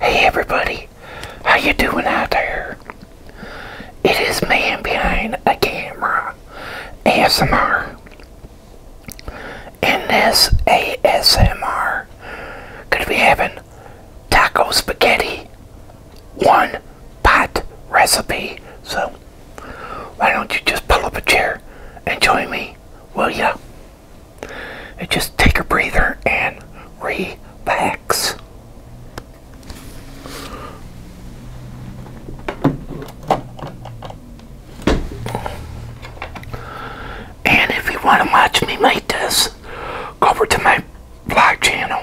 Hey everybody, how you doing out there? It is man behind a camera, ASMR. And this ASMR, could be having taco spaghetti, one pot recipe. So why don't you just pull up a chair and join me, will ya? just take a breather and relax. And if you want to watch me make this, go over to my blog channel.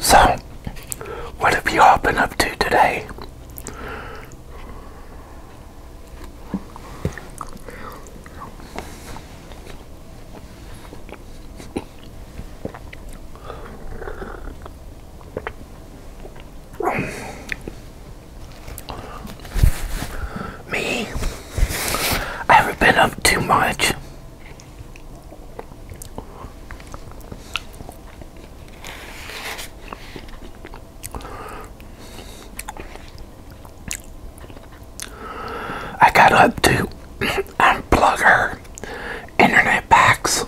So, what have you all been up to today? Me, I have been up too much. I got up to unplug her internet packs.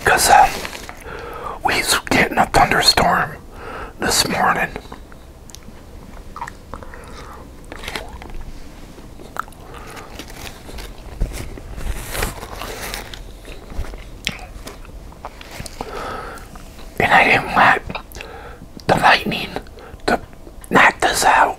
Because uh, getting a thunderstorm this morning. And I didn't want the lightning to knock this out.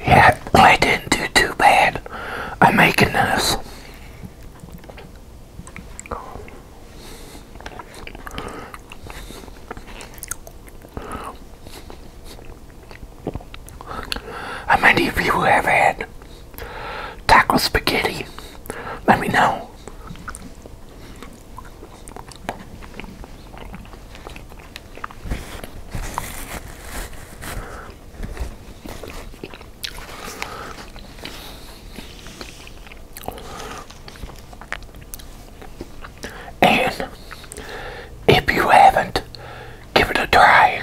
Yeah, I didn't do too bad. I'm making this. How many of you have had taco spaghetti? Let me know. And if you haven't, give it a try.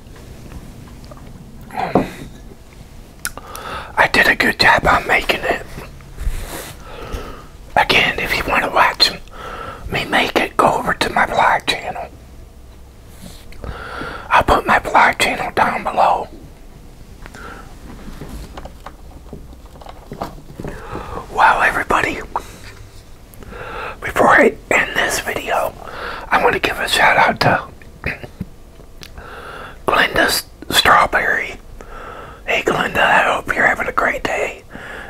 I did a good job on making it. Again, if you want to watch me make it, go over to my vlog channel. I'll put my vlog channel down below. Wow, everybody. Before I in this video, I want to give a shout out to Glenda Strawberry. Hey Glenda, I hope you're having a great day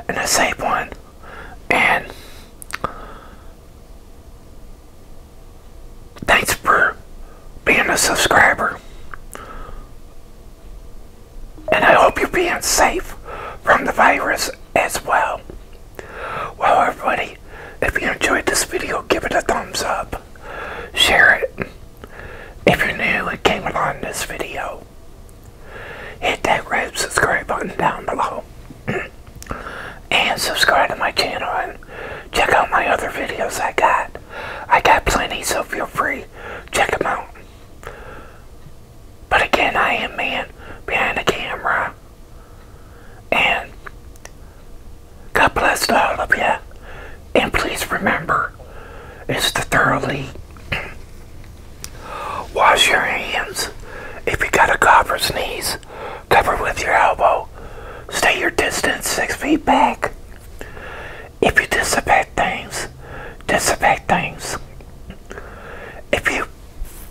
and a safe one. And thanks for being a subscriber. And I hope you're being safe from the virus as well. Well, everybody, if you enjoyed this video, give it a thumbs up. Share it. If you're new and came along this video, hit that red subscribe button down below. and subscribe to my channel and check out my other videos I got. I got plenty, so feel free. Check them out. But again, I am man behind the camera. And God bless all of you. And please remember, it's to thoroughly wash your hands. If you got a cough or sneeze, cover with your elbow. Stay your distance six feet back. If you disinfect things, disinfect things. If you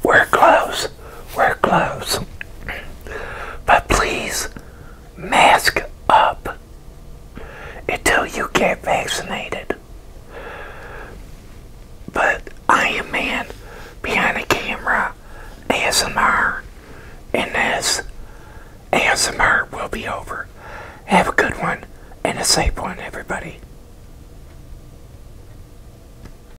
wear gloves, wear gloves. But please, mask up until you get vaccinated. But I am man behind the camera, ASMR, and this ASMR will be over. Have a good one and a safe one, everybody.